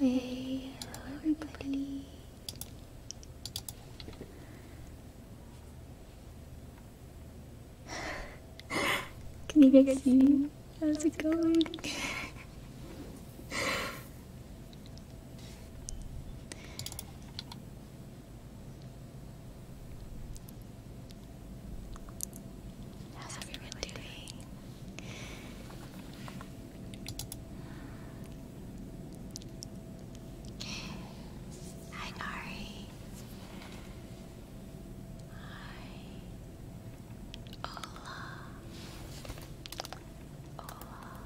Hey, hello everybody. Can you guys a me? How's it going? How's everyone doing? Hi, Nari. Hi. Ola. Ola.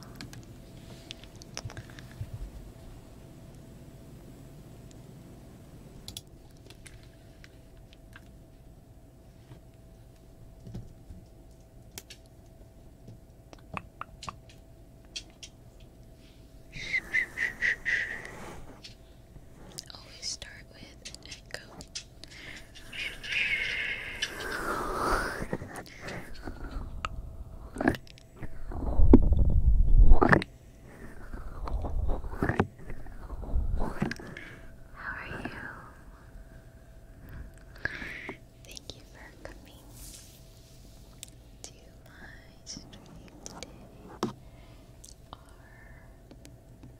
Always start with an echo. How are you? Thank you for coming to my stream today.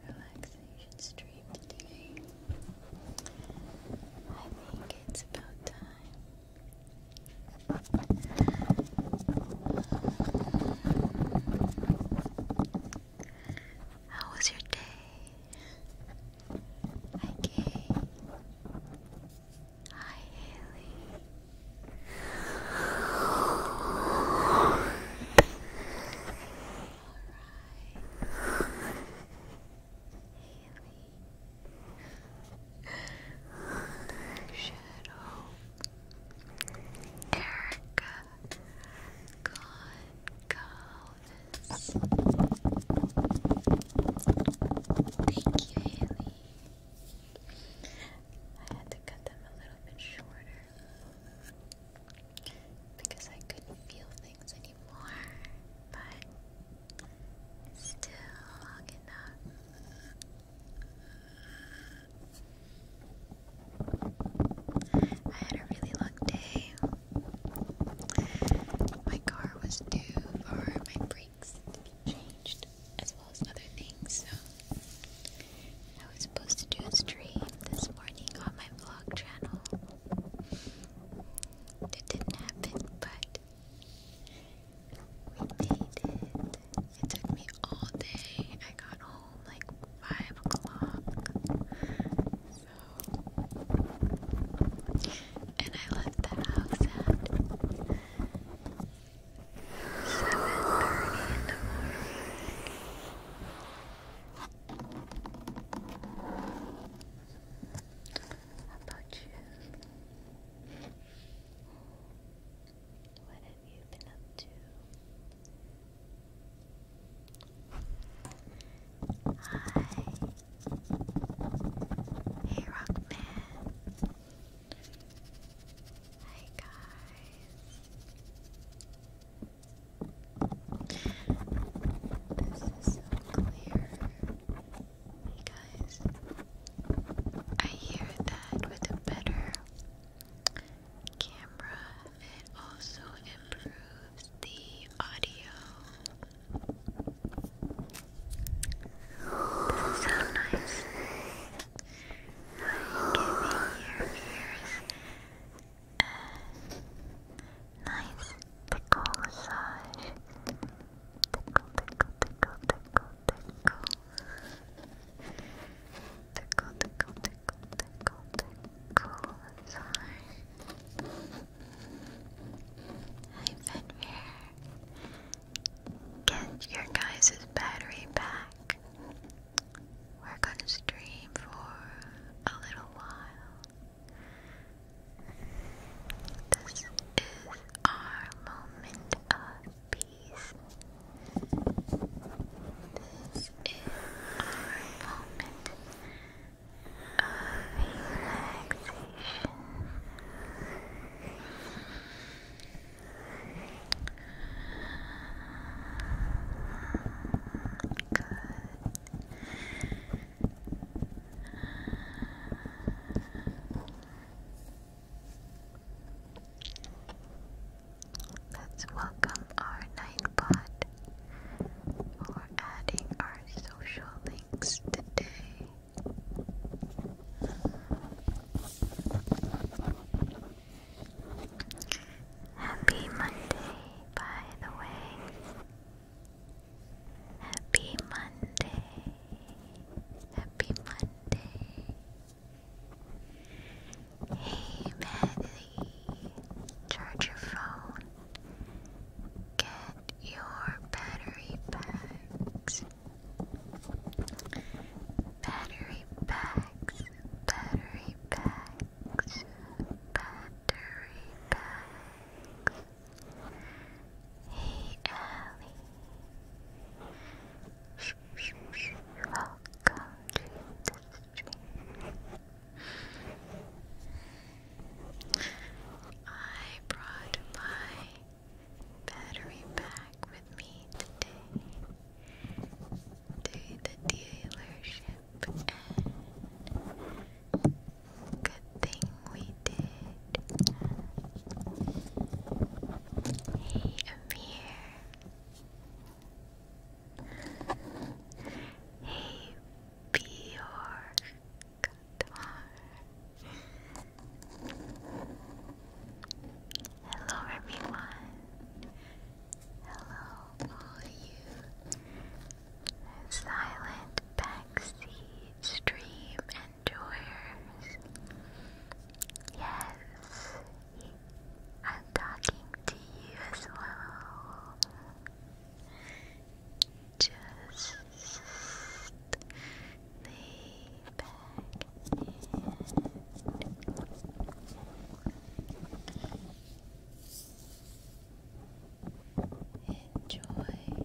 Our relaxation stream today. I think it's about time. How was your day? Hi, Kay. Hi, Haley. Alright. Haley. Shadow. Erica. Goncalves. Thank you, Haley. I had to cut them a little bit shorter because I couldn't feel things anymore, but still long enough. I had a really long day. My car was due for my brakes changed, as well as other things, so I was supposed to do a stream this morning on my vlog channel. It didn't happen, but we made it. It took me all day. I got home like five o'clock. So and I left the house at seven thirty in the morning. How about you? What have you been up to? Hi. Hey, Rockman. Hi, guys. This is so Hey, guys. I hear that with a better camera. It also improves the audio. sound nice. Like giving your ears uh, nice tickle massage. Tickle, tickle, tickle, tickle, tickle. Tickle, tickle, tickle, tickle, tickle cool floor. Hey, Get your guys' battery back. We're gonna stream for a little while. This is our moment of peace. This is our moment of relaxation. Good. Let's welcome our Nightbot for adding our social links today. Happy Monday, by the way. Happy Monday. Happy Monday. Hey Maddie, charge your phone. Get your battery packs. Battery packs, battery packs, battery packs. Hey Ellie, welcome to the I brought my battery back with me today to the dealership, good thing we did. Hey, Amir. Hey, Bjork. Hello, everyone. Hello, all you silent backseat stream enjoyers. Yes, I'm talking to you as well. Just lay back and enjoy. Enjoy the ride.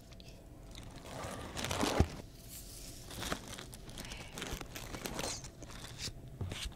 Little souvenir is from souvenir.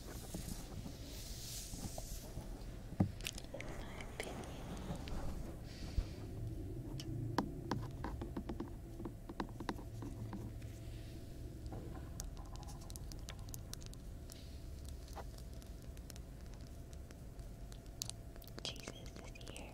In my Jesus is here.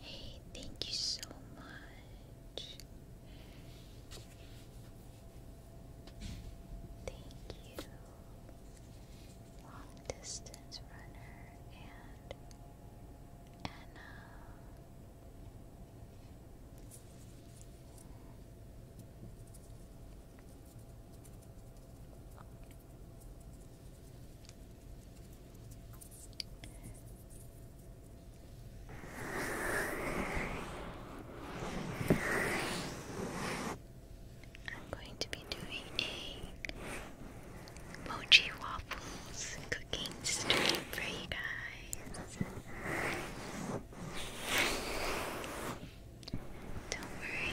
Hey, thank you so much. Thank you, long distance runner and Anna. I'm going to be doing a mochi waffles cooking stream for you guys. Don't worry.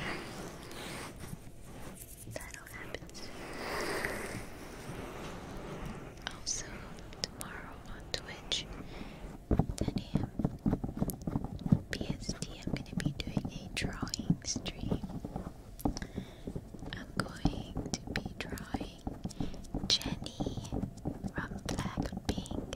That'll happen Also, tomorrow on Twitch, 10 a.m. PST, I'm going to be doing a drawing stream. I'm going to be drawing Jenny from Blackpink.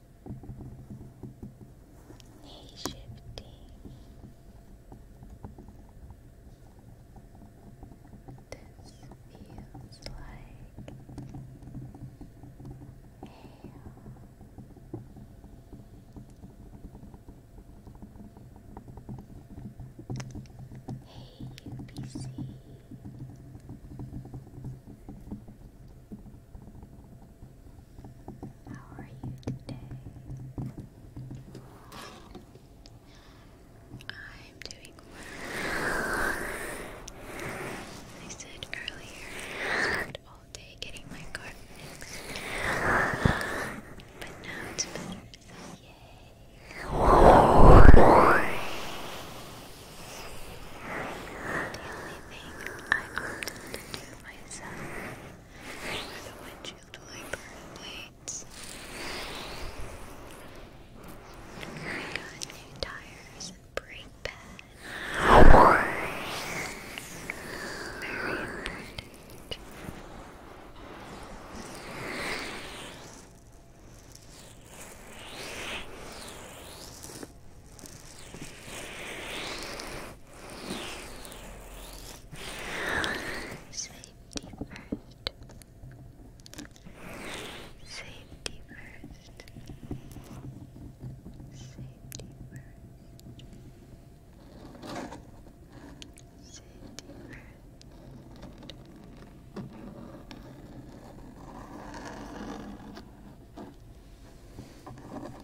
knee shifting, this feels like hail. Hey UPC how are you today? I'm doing well. I said earlier, spent all day getting my car fixed. But now it's better, yay! The only thing I opted to do myself where the windshield wiper blades. I got new tires and brake pads. Very important. I Safety first. Safety first. Safety first. Safety first.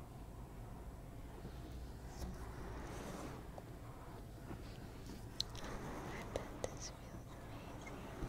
I bet this feels amazing.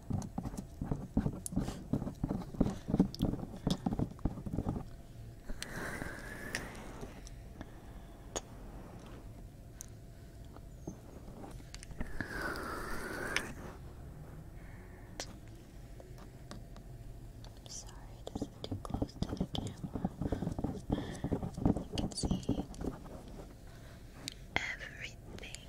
I'm sorry, this too close to the camera. You can see everything.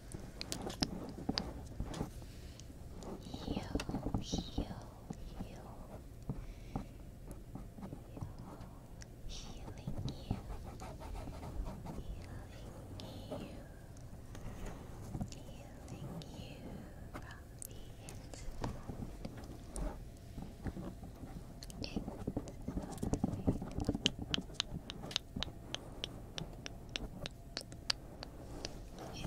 Yo, yo, yo. Healing you, healing you, healing you from the inside inside. Good.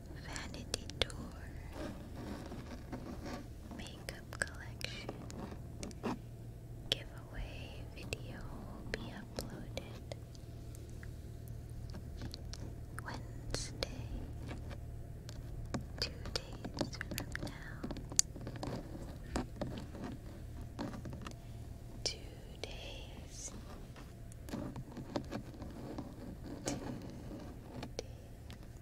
Vanity Tour Makeup Collection Giveaway video will be uploaded Wednesday, two days from now. Two days. Two days.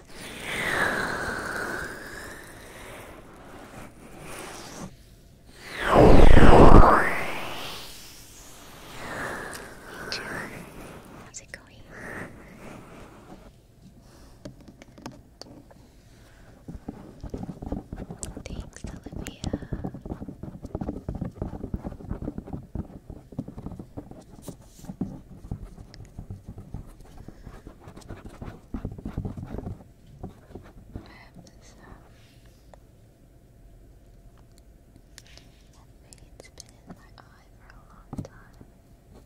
Thank you. How's it going? Thanks, Olivia have this um, that vein been in my eye for a long time. You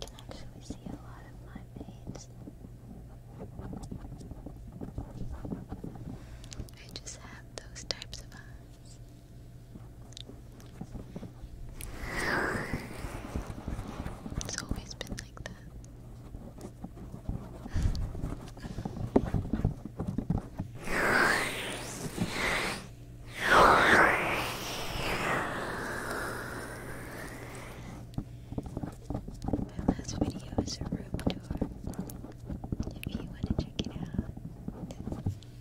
can actually see a lot of my veins. I just have those types of eyes. It's always been like that. My last video is a room tour. If you want to check it out,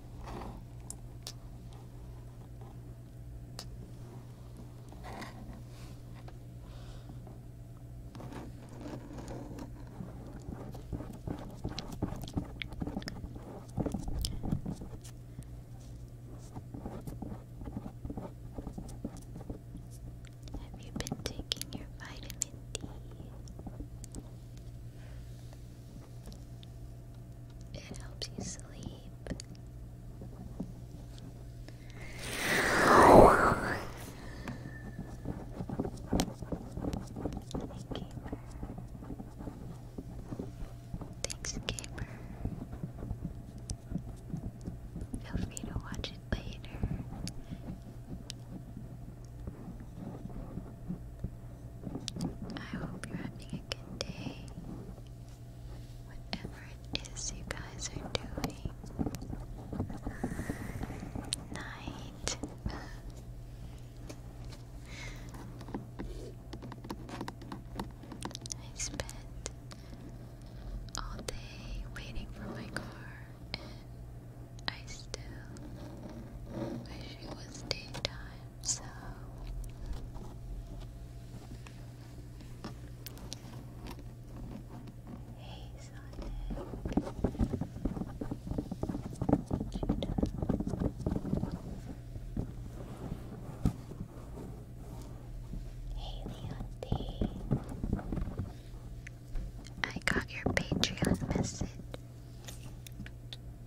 Have you been taking your vitamin D? It helps you sleep. Thanks, gamer. Feel free to watch it later. I hope you're having a good day. Whatever it is you guys are doing. Night. I spent all day waiting for my car and I still wish it was daytime. So Hey Sonic Hey Leonte I got your Patreon message.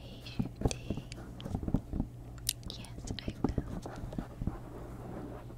Hey, Shifty. Yes, I will.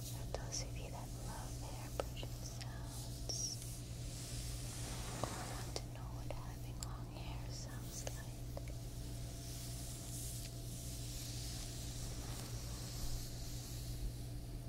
For those of you that love air sounds or want to know what having long hair sounds like.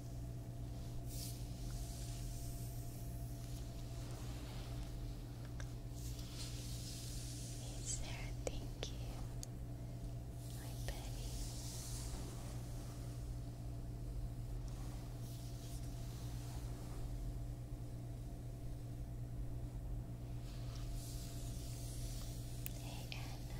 Hey Sarah, thank you. My Betty. Hey Anna.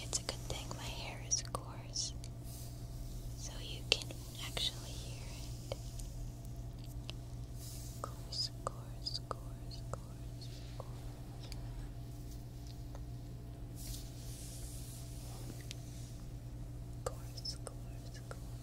It's a good thing my hair is coarse, so you can actually hear it. Coarse, coarse, coarse, coarse, coarse. Course, course, course.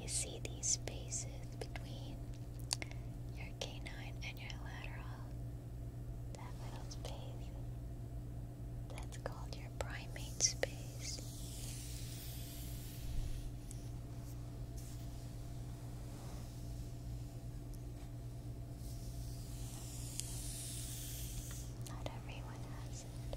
You see these spaces between your canine and your lateral. That little space. That's called your primate space. Not everyone has it.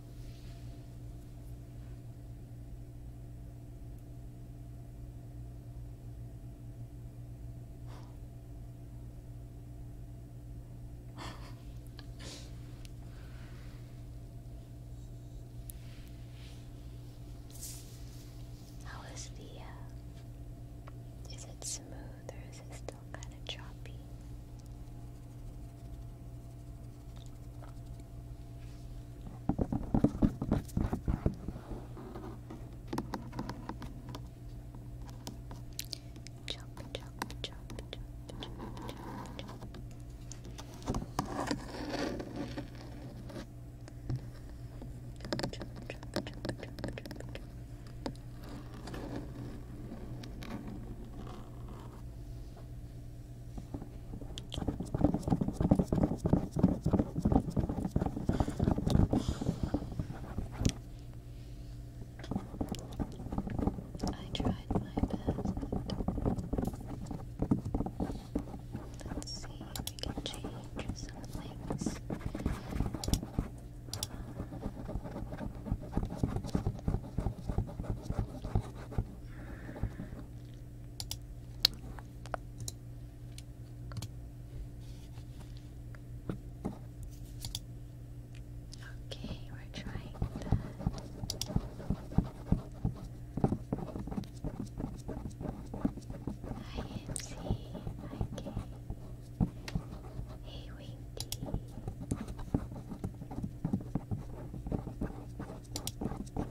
How is the, uh, is it smooth or is it still kind of choppy? Jump, jump, jump, jump, jump, jump. Jump, I tried my best. let see if we can change some things. Okay, we're trying that. Hi, MC. Hi, Kay. Hey, Winky. All right,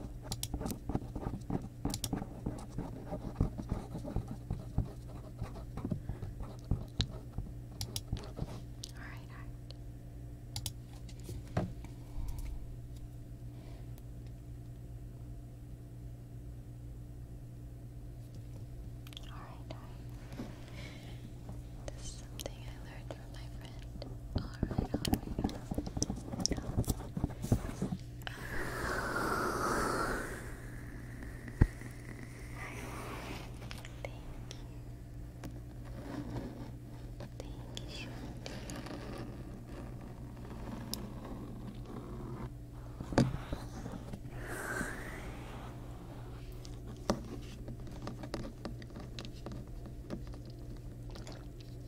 all right. This is something I learned my friend. Alright, alright. Thank you. Thank you,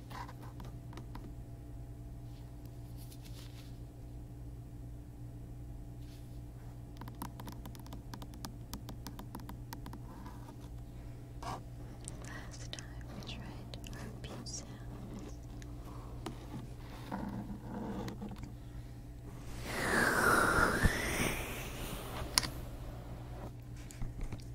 Last time we tried our pizza.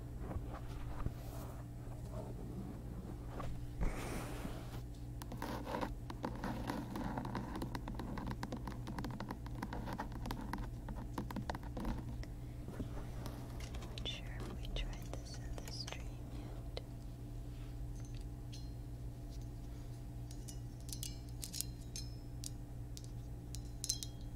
Not sure we tried this in the stream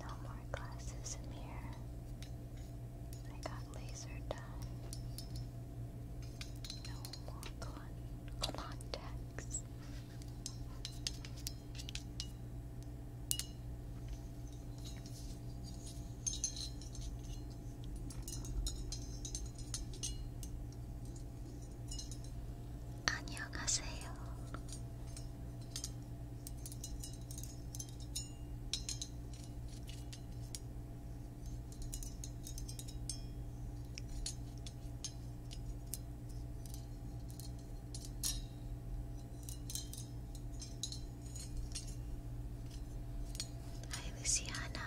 No more glasses in here. I got laser done. No more contacts. 안녕하세요. Hi, Luciana.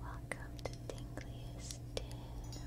Welcome to Tingliest Dim. Hello,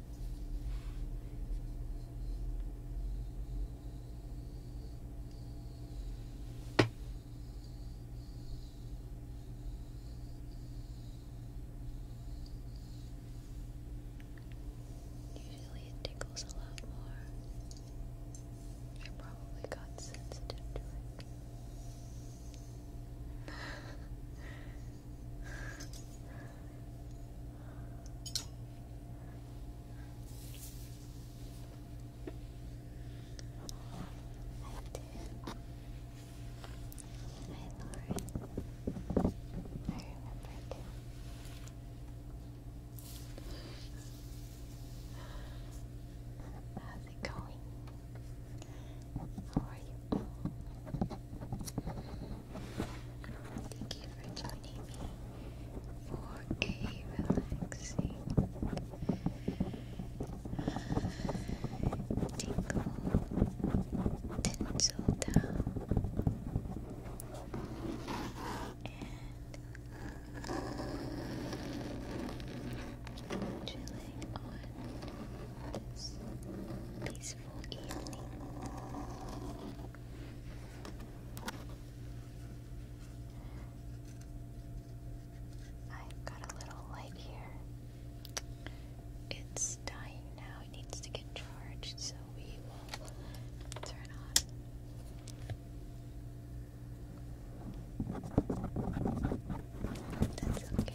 Usually it tickles a lot more. I probably got sensitive Lauren. I remembered. How's it going? How are you? Thank you for joining me for a relaxing tingle tinsel down and chilling on this peaceful evening i got a little light here. It's dying now, it needs to get charged, so we will turn on. That's okay.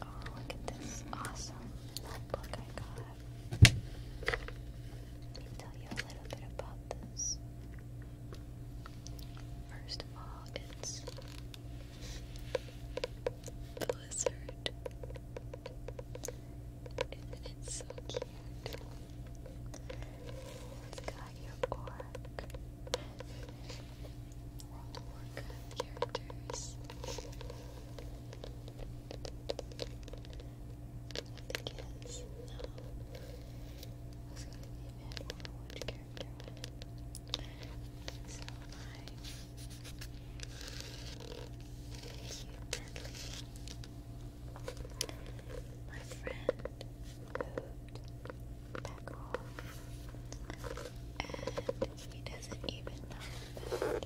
Oh, look at this awesome notebook I got. Let me tell you a little bit about this. First of all, it's Blizzard. It's so cute? It's got your orc. World of characters. I think it is. No. It's gonna be Which character So my Cute My friend moved back home and he doesn't even know that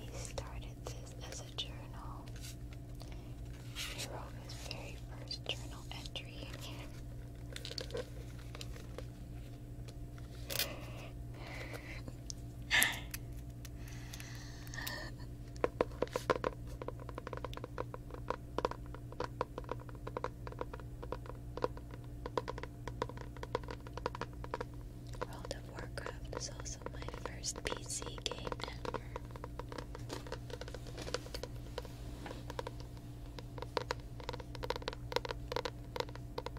he started this as a journal. He wrote his very first journal entry World of Warcraft is also my first PC game ever.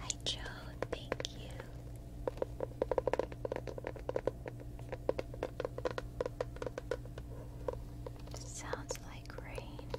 Hi, Joe. Thank you. Sounds like rain.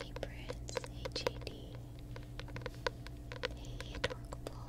Hey Prince, hey JD, hey Adorkable.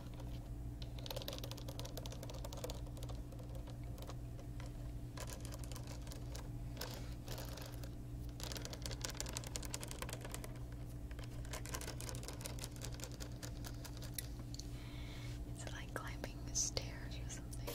It's like climbing stairs or something.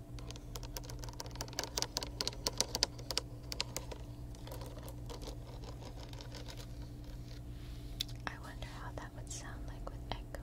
I wonder how that would sound like with echo.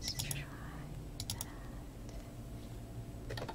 Let's try that. Very good.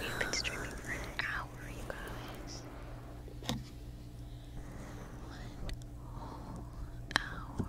We've been streaming for an hour, you guys. One whole hour.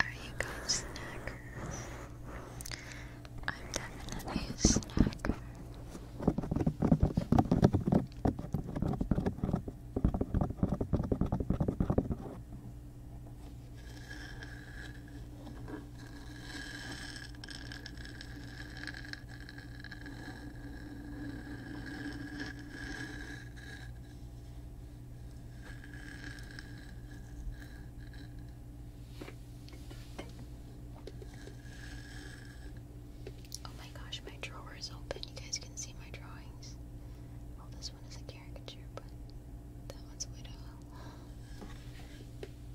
Are you guys snackers? I'm definitely a snacker. Oh my gosh, my drawer is open. You guys can see my drawings. Well, this one is a caricature, but that one's a widow.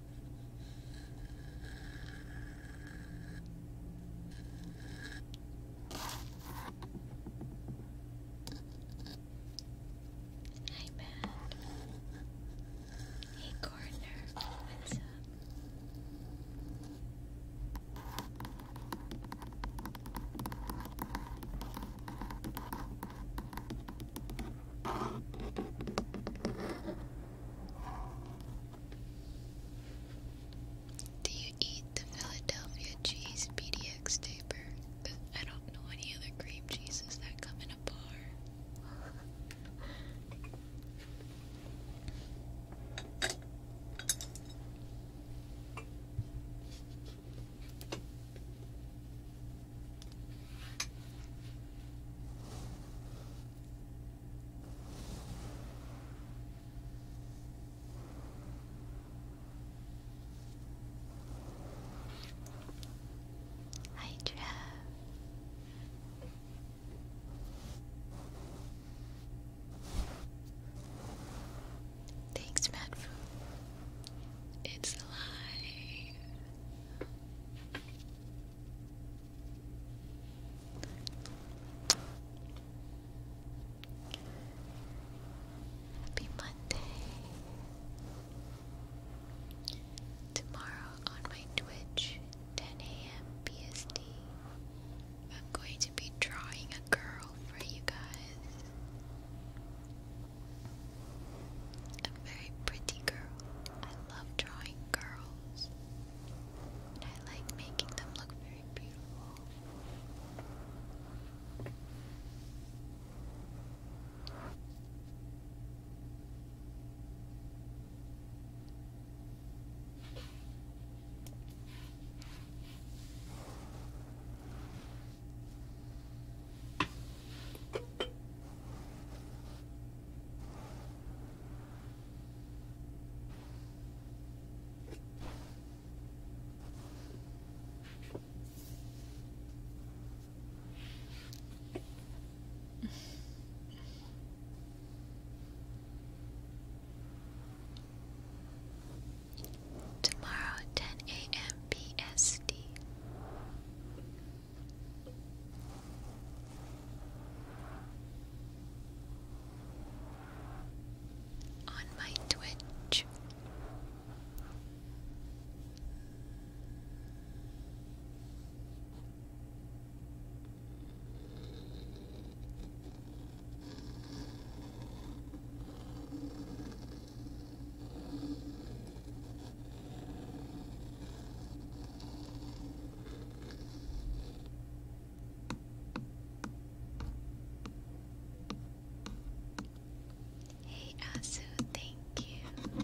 Hi, Matt. Hey, Corner. What's up? Do you eat the Philadelphia cheese PDX taper? I don't know any other cream cheeses that come in a bar. Hydra. Thanks, Madfu. It's alive. Happy Monday. Tomorrow on my Twitch, 10 a.m. BSD, I'm going to be drawing a girl for you guys. A very pretty girl. I love drawing girls. I like making them look very beautiful. Tomorrow, 10 a.m. BSD on my Twitch. Hey Asu, thank you.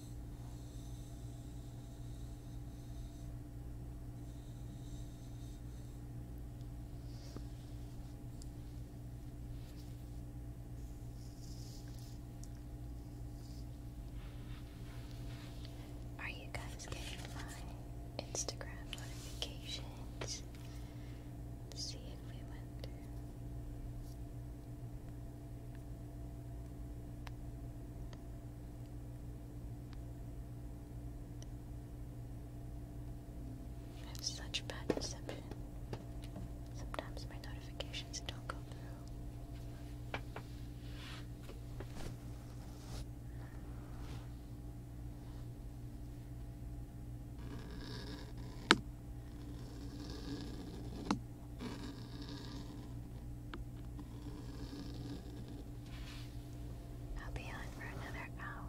Are you guys getting my Instagram notifications? see if we went I have such bad reception. Sometimes my notifications don't go through. I'll be on for another hour.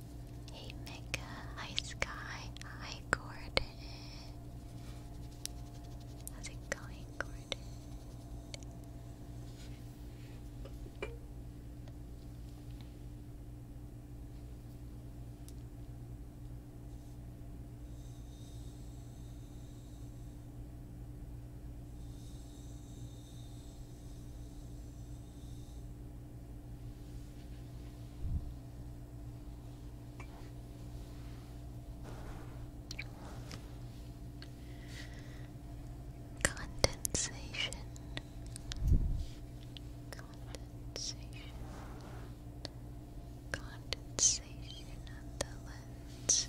Hey Mika, hi Sky, hi Gordon. How's it going, Gordon? Condensation. Condensation. Condensation on the lens.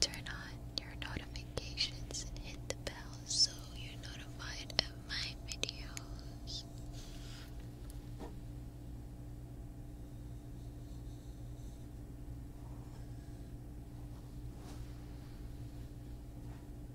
Turn on your notifications and hit the bell so you're notified of my videos.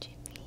Jimmy.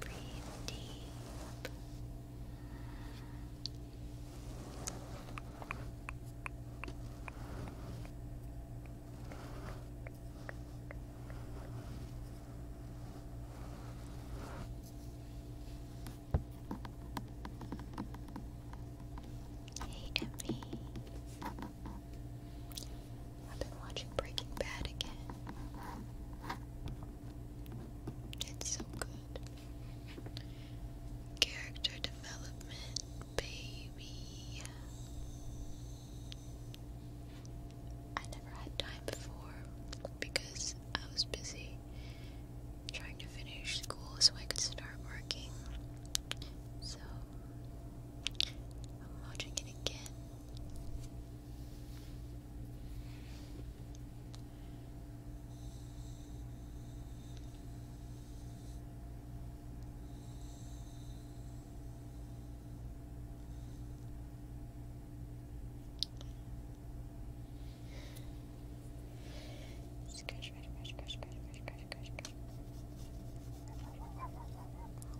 Breathe deep. Hey, Emmy. I've been watching Breaking Bad again. It's so good. Character development, baby. I never had time before because I was busy trying to finish school so I could start working. So I'm watching it again. Scratch, scratch, scratch, scratch, scratch, scratch, scratch, scratch. what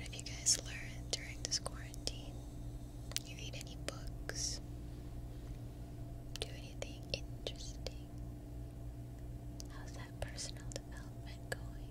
have you guys learned during this quarantine? You read any books? Do anything interesting? How's that personal development going?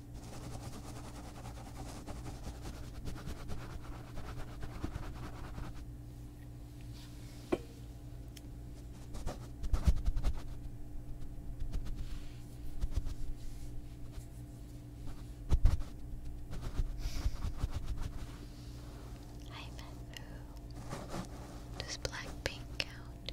Hi, Matthew. Does black count?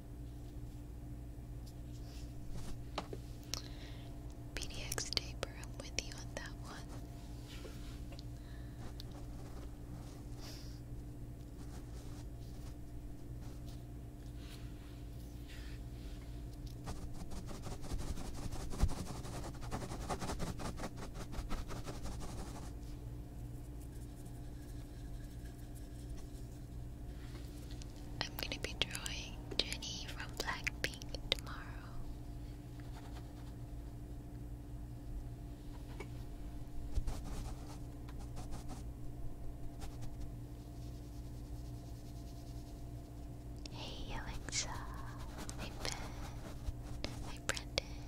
PDX taper, I'm with you on that one. I'm gonna be drawing Jenny from Blackpink tomorrow. Hey Alexa, hey Ben, hey Brendan.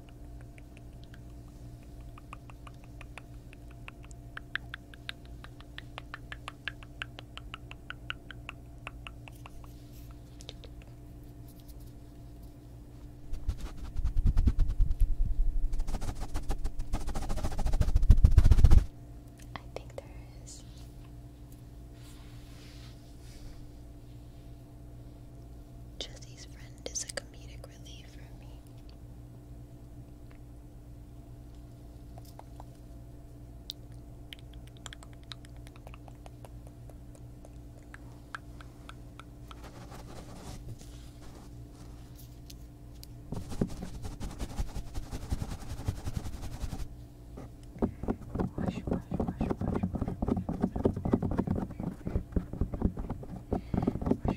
I think there is. Jesse's friend is a comedic relief for me. Wash, wash, wash, wash, wash,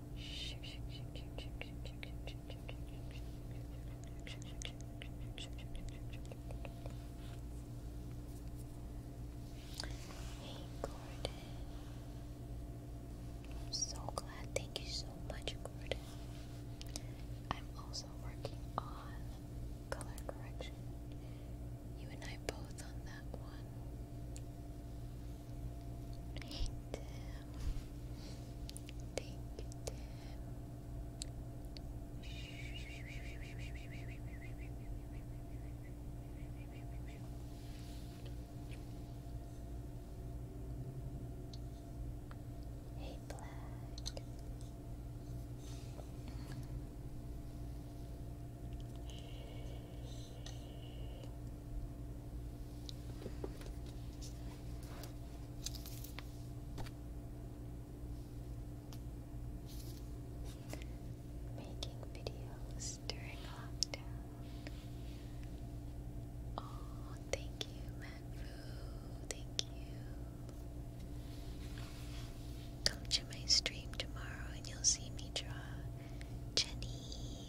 Hey, Gordon. I'm so glad. Thank you so much, Gordon. I'm also working on color correction. You and I both on that one. Hey Tim. Thank you, Tim. Hey Black. Making videos during lockdown. Oh, thank you, Manfu. Thank you. Come to my stream tomorrow and you'll see me draw Jenny.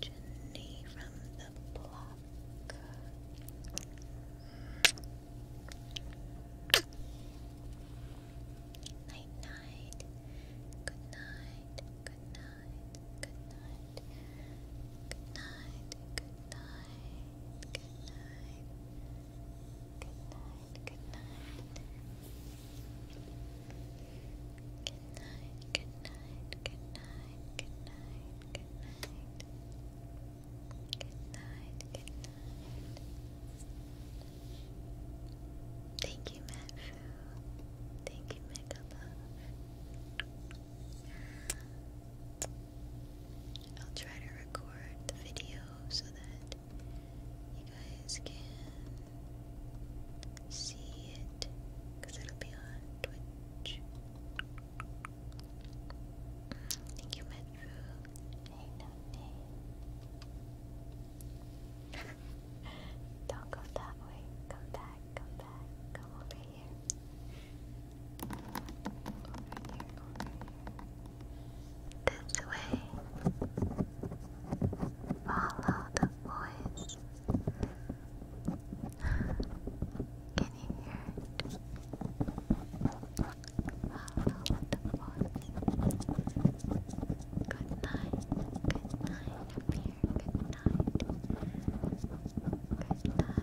Jenny from the block. Night night. Good night. Good night. Good night. Good night. Good night. Good night. Good night. Good night. Good night. Good night. Good night. Good night. Good night. Good night. Good night. Thank you, Matthew. Thank you, Mega I'll try to record the video so that you guys can see it it'll be on Twitch. Thank you, Metru. Hey, no, Don't go that way. Come back, come back, come over here. Over here, over here this way. Follow the voice. Can you hear it? Follow the voice. Good night. Good night, Good night. Good night. Good night. Good night.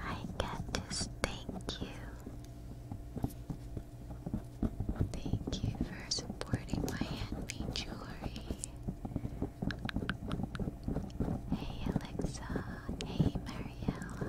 I get to thank you. Thank you for supporting my handmade jewelry. Hey Alexa. Hey Mariella.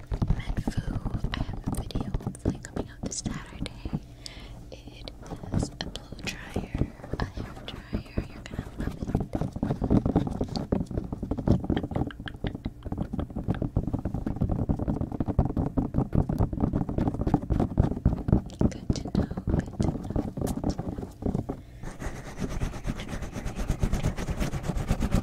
Medfu. I have a video hopefully coming out this Saturday. It is a blow dryer, a hair dryer. You're gonna love it. Good to know. Good to know. Good to know.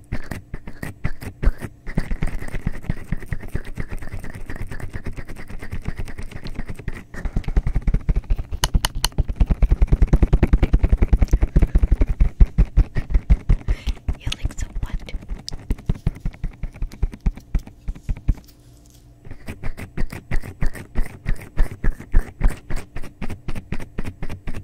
You like so what? The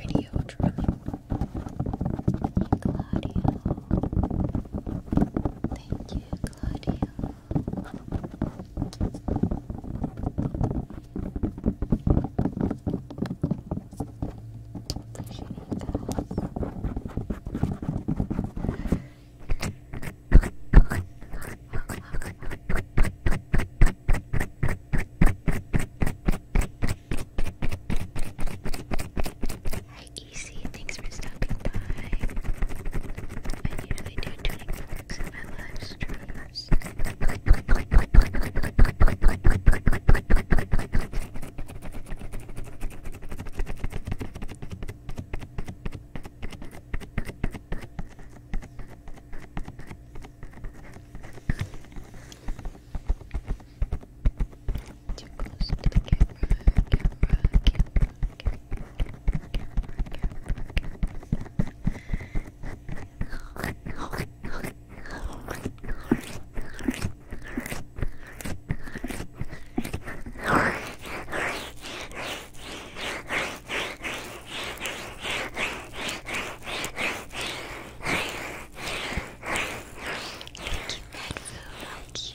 radio drumming, Claudio, Thank you, Claudia. Appreciate Hi, Easy. Thanks for stopping by. I do tuning forks in my live too close to the camera, camera, camera, camera, camera, camera, camera, camera. Thank you,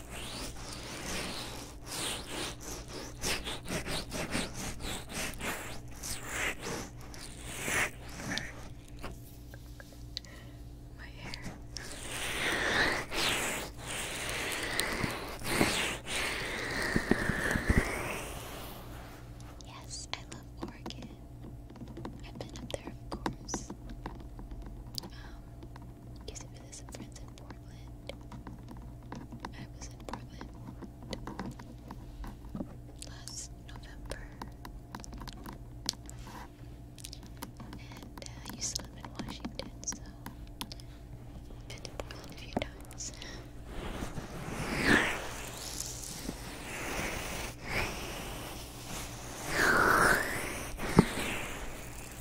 My hair. Yes, I love Oregon. I've been up there, of course. Um, Used it with friends in Portland. I was in Portland last November. And uh, I live in Washington, so I've a few times.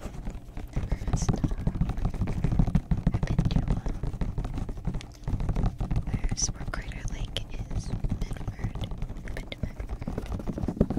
First up, I picked you up. Where's where Crater Lake is? Bedford. Bedford. I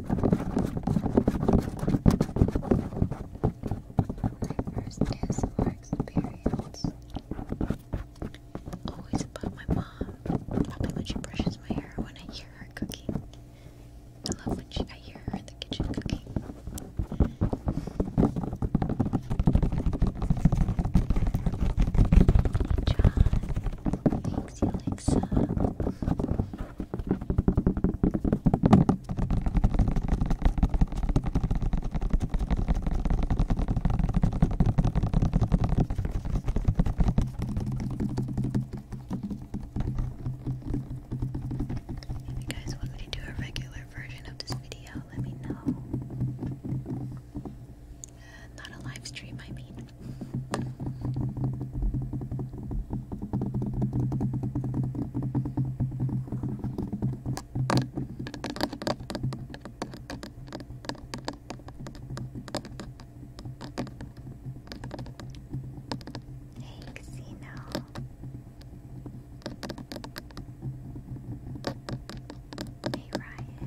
first is more experience. Always about my mom. Probably when she brushes my hair when I hear her cooking. I love when she, I hear her in the kitchen cooking. John, thanks, Alexa. If you guys want me to do a regular version of this video, let me know. Uh, not a live stream, I mean. Hey, Casino. Hey, Ryan.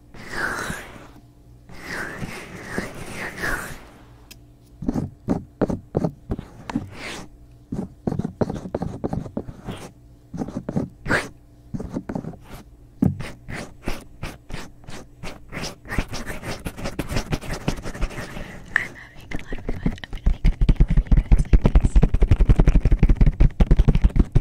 having a lot of fun. I'm gonna make a video for you guys like this.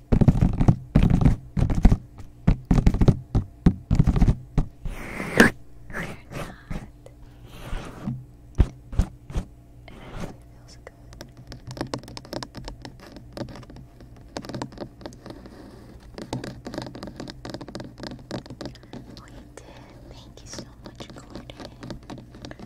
feels good. Oh, you did. Thank you so much, Gordon. Oh.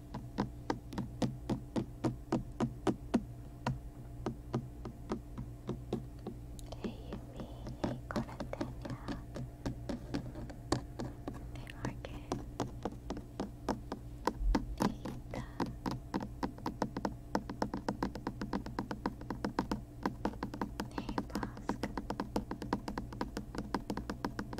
Hey Yumi, hey Corantania, hey Larkin, hey Ita. Hey, Bosk.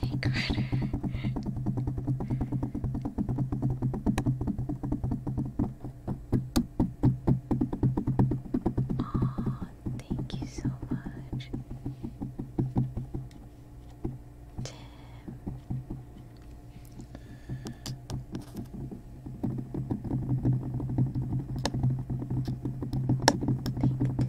Hey, Carter. Oh, thank you so much. Tim. Thank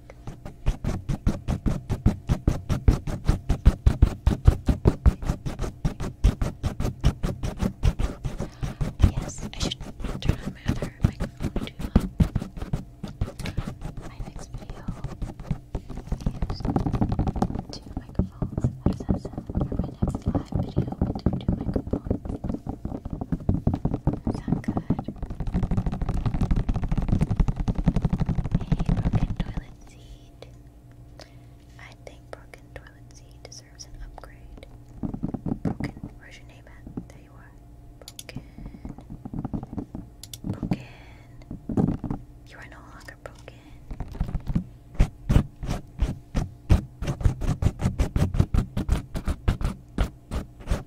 Yes, I should turn on my other microphone too. Uh, my next video two microphones. How does my next live video, two microphones. Sound good? broken toilet seat. I think broken toilet seat deserves an upgrade. Broken, where's your name at? There you are. Broken. Broken. You are no longer broken.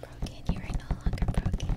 Broken, you are no longer broken.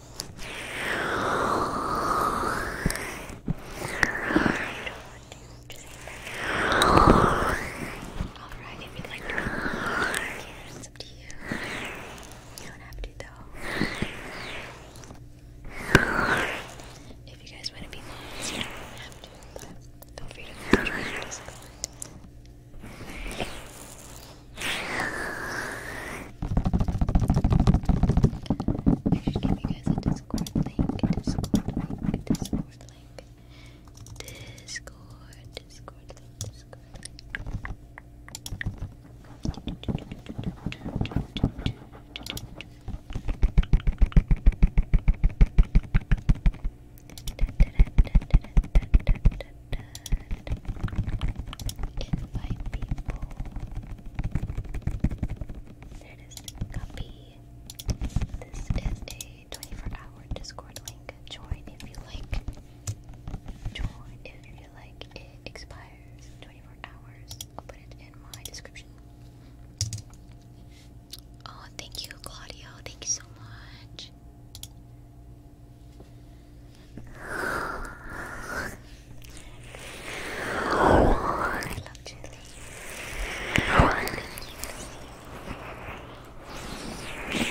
Alright, if you'd like to it's up to you. You don't have to though. If you guys want to be nice, you don't have to, but feel free to come join our Discord. I should give you guys a Discord link, Discord link, Discord link, Discord, invite people. There it is. Copy. This is a 24 hour Discord link. Join if you like. Join if you like. It expires 24 hours. I'll put it in my description. Oh, thank you, Claudio. Thank you so much. I love chili. Thank you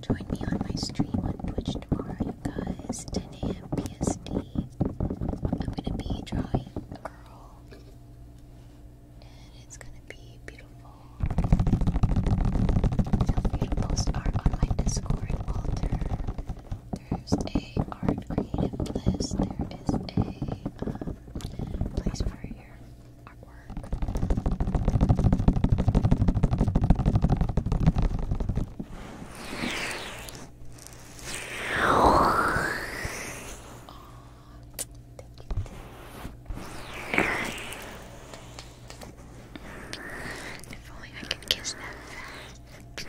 Join me on my stream on Twitch tomorrow, you guys. 10 a.m. PST. I'm gonna be drawing a girl, and it's gonna be beautiful. Feel free to post art on my Discord, Walter. There's a art creative list. There is a um, place for you artwork. If only I could kiss that fast.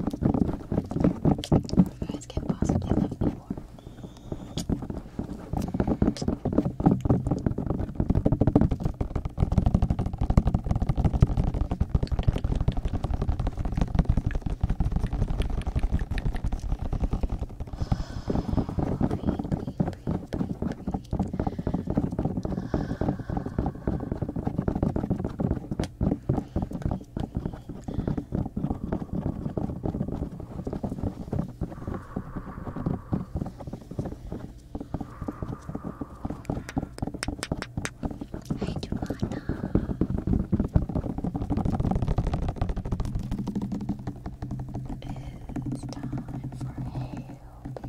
You guys can't possibly love me more. Breathe, breathe, breathe, breathe. It's time for hail, baby.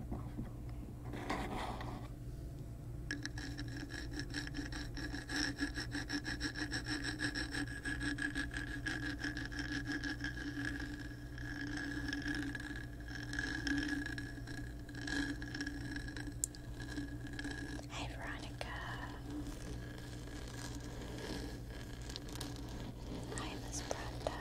Hi, Veronica. Hi, Miss Brenda.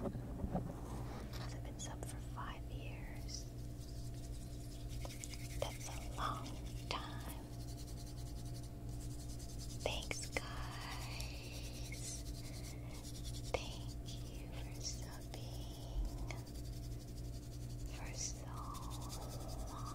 Has it been sub for five years? That's a long time. Thanks, guys. Thank you for stopping for so long.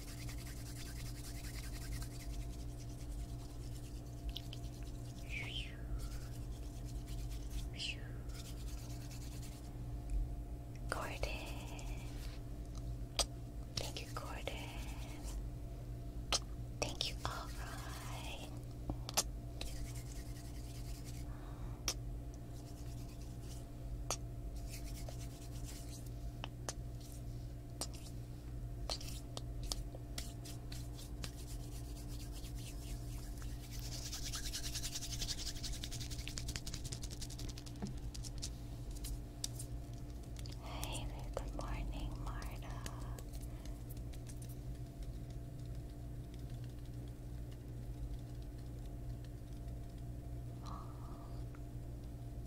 Gordon. Thank you, Gordon. Thank you, alright. Hey good morning, Marta.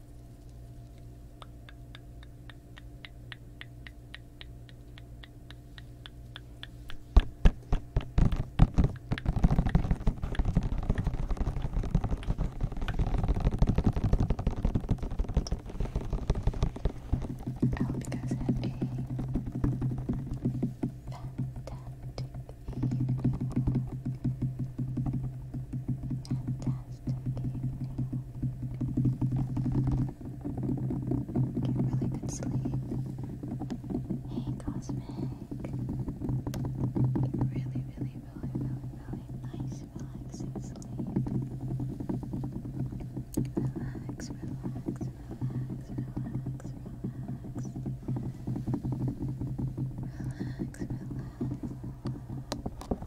I hope you guys had a fantastic evening. Get really good sleep. Hey, Cosmic. Really, really, really, really, really nice, relaxing sleep. Relax, relax, relax, relax, relax, relax. Relax, relax.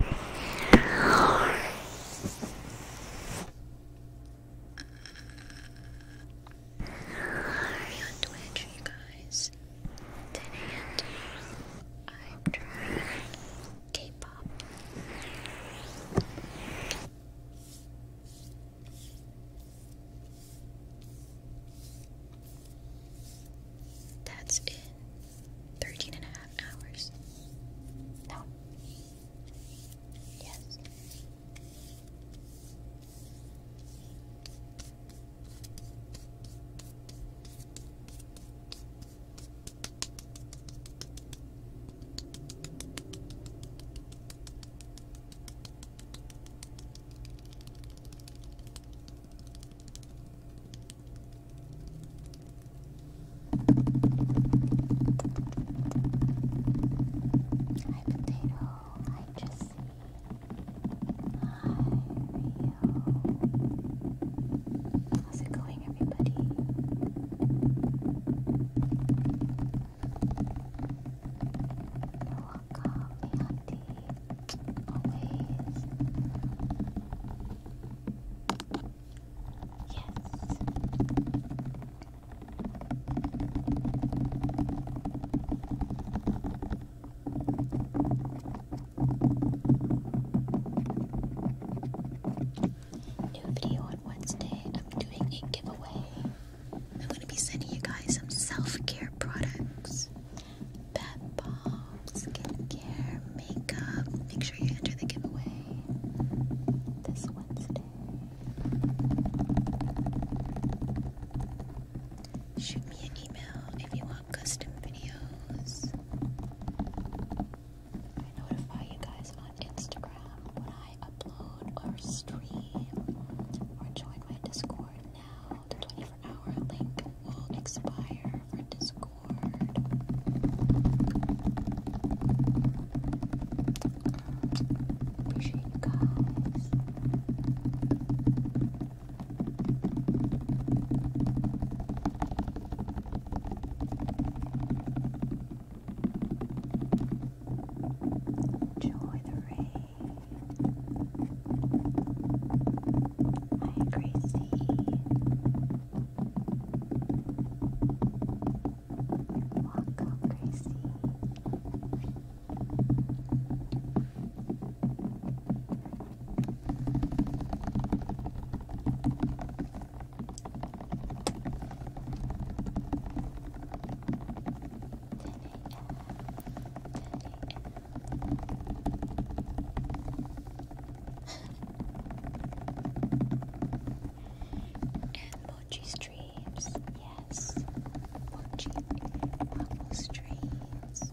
on Twitch, you guys. 10 and I'm trying K-pop. That's in 13 and a half hours. No. Yes. Hi potato, hi Jesse, hi Rio. How's it going everybody? You're welcome, Auntie. Yes. New video on Wednesday. I'm doing a giveaway. I'm going to be sending you guys some self care products. Pet balm, skincare, makeup. Make sure you enter the giveaway this Wednesday. Shoot me an email if you want custom videos. I notify you guys on Instagram when I upload or stream or join my Discord now. The 24 hour link will expire for Discord. Appreciate guys. Enjoy the rain. Hi, Gracie. Welcome, Gracie. Ten a.m and streams, yes, mochi waffle streams.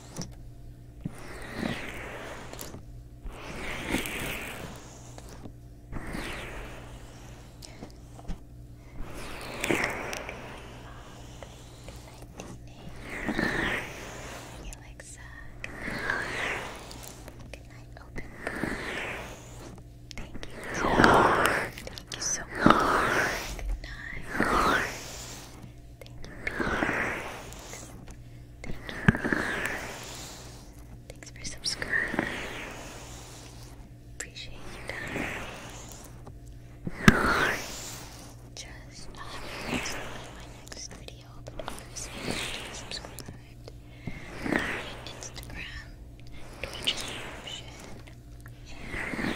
Alexa. Good night. Good night, open. Thank you. Thank you so much. Good night. Thank you, Peter. Thanks for subscribing. Appreciate your time. Just not uh, my next video, but obviously just subscribed. Instagram, Twitch subscription, and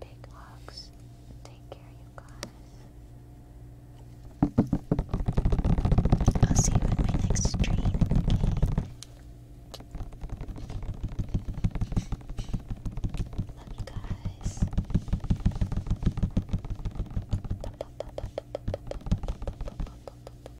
Big hugs. Take care, you guys. I'll see you in my next stream, okay? Love you guys.